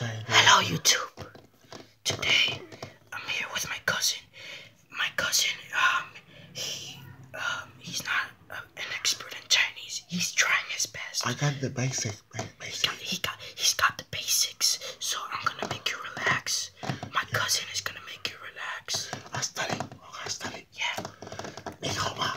Hello YouTube. Today I'm here with my cousin. My cousin, um, he, um, he's not uh, an expert in Chinese. He's trying his best. I got the basics. basic. He got, he got, he's got the basics. So I'm gonna make you relax. My cousin is gonna make you relax. I study. I study. Yeah. 你好吗？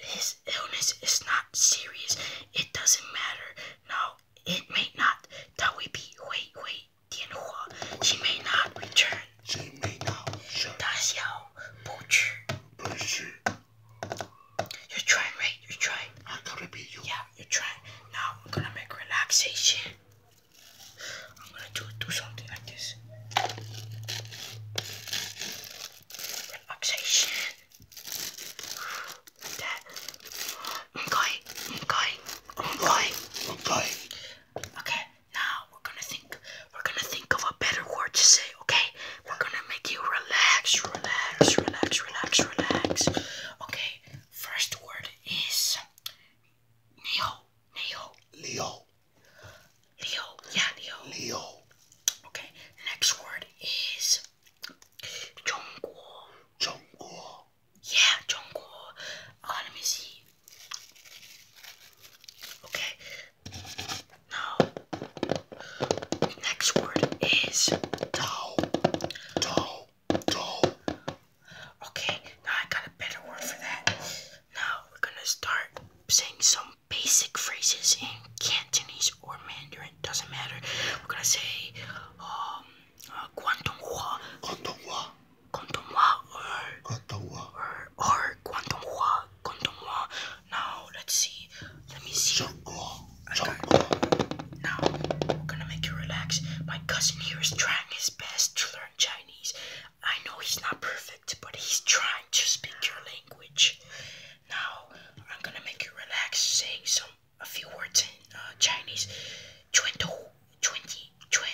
his illness is not serious. It doesn't matter. Now it may not. That we be wait wait. She may not return. She may not return. you are trying, right? You're trying. I am going to be you. Yeah, you're trying. Now I'm gonna make relaxation. I'm gonna do do something like this. Relaxation. で I'm going, I'm going, Okay, now we're gonna think, we're gonna think of a better word to say, okay? We're gonna make you relax, relax, relax, relax, relax. Okay, first word is Leo. Leo. Leo. Leo. Yeah, Leo. Leo. Okay. Next word is Zhongguo. Zhongguo. Yeah, Zhongguo. Uh, let me see. Okay. Now, next word is Tao. Tao. Tao. Okay, now I got a better word for that. Now we're gonna start saying some some um, basic phrases in Cantonese or Mandarin, doesn't matter. We're gonna say um uh, Guangdonghua. Guangdonghua. Guangdonghua or Guangdonghua. Or, or Guangdonghua. Guangdonghua. Now let's see. Let me see. Zhonghua. Now we're gonna make you relax. My cousin here is trying his best to learn Chinese. I know he's not perfect, but he's trying to speak your language. Now, I'm gonna make you relax, say some a few words in Chinese. 拳头, 20, 20,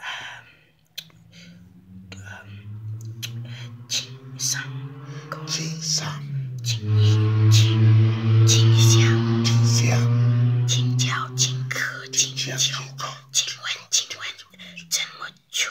um, um, 金三公，金三，金一，金，金香，金香，金角，金科，金秋，金文，金文，怎么秋？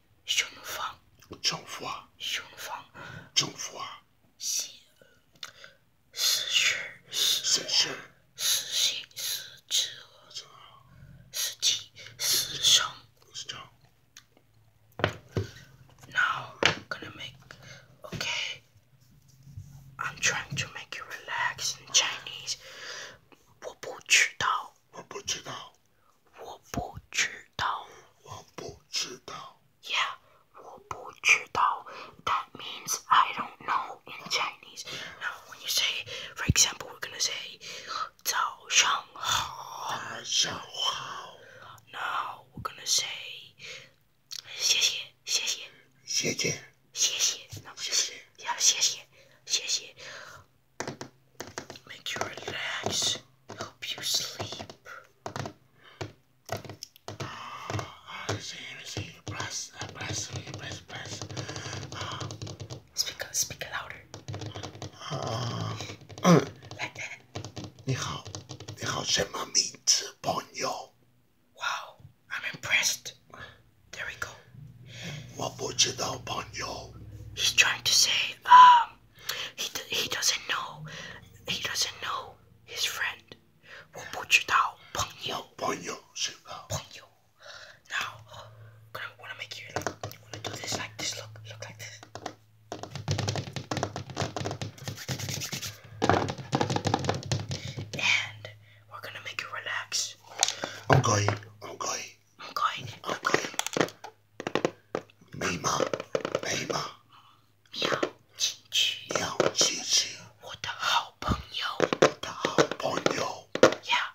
雄方，中华，雄方，中华，西，失去，失去，失信，失职，失体，失声。Now I'm gonna make. Okay, I'm trying to make you relax in Chinese. 我不知道，我不知道。我不知道。我不知道. Yeah, 我不知道. That means I don't know in Chinese. Now, when you say, for example, we're gonna say 早上好.早上好. Now, we're gonna say 谢谢,谢谢.谢谢.谢谢. No, 谢谢. Yeah, 谢谢.谢谢. Make you relax. Help you sleep. Receive, receive, bless, bless, bless, bless. Uh, speak, speak louder. Uh, like that. 你好，你好，什么名字，朋友？Wow, I'm impressed. There we go. 我不知道，朋友。He's trying to say, um, he he doesn't know. He doesn't know his friend. 我不知道朋友。朋友知道。朋友。Now, am gonna make you. I'm gonna do this like this. Look, look like this. And we're gonna make you relax. I'm going. I'm going. I'm going. I'm going. Mima, Mima，喵，叽叽，喵叽叽，我的好朋友，我的好朋友。Yeah.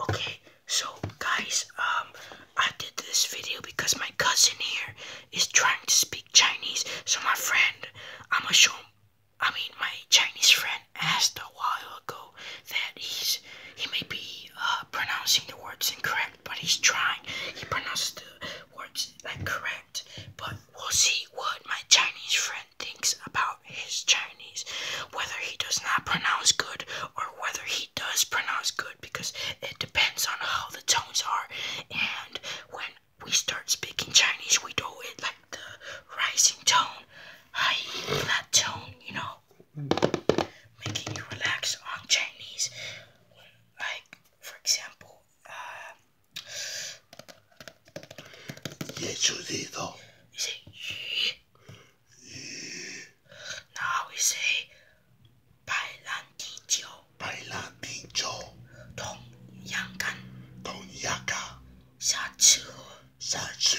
Okay, so guys, um, I did this video because my cousin here is trying to speak Chinese. So my friend, I'ma show. I mean, my Chinese friend asked a while ago that he's he may be uh, pronouncing the words incorrect, but he's trying. He pronounced the words like correct, but we'll see what my Chinese friend thinks about his Chinese, whether he does not pronounce good or whether he does pronounce good, because it depends on how the tones are. And when we start speaking Chinese, we do it like the rising tone, high tone, you know, making you relax on Chinese. Like, for example, uh, you say ye. Now we say Bai Lan Di Jiu. Bai Lan Di Jiu. Tong Yang Gan. Tong Yang Gan. Xia Chu. Xia Chu.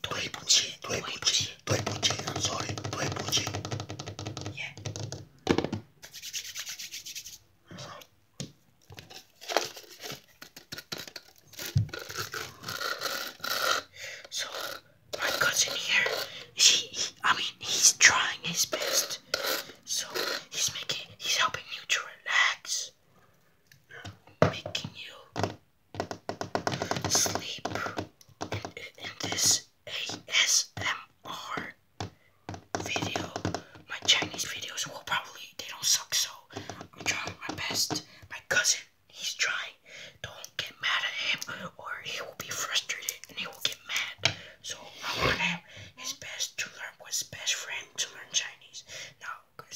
对不起，对不起，对不起，I'm sorry，对不起。Yeah. So my cousin here, she, he, I mean, he's trying his best. So he's making, he's helping you to relax, making you sleep in, this ASMR video. My Chinese videos will probably they don't suck, so I'm trying my best. My cousin, he's trying. Don't get mad at him, or he will be frustrated and he will get mad. So I want him his best to learn what's best friend to learn Chinese. Now,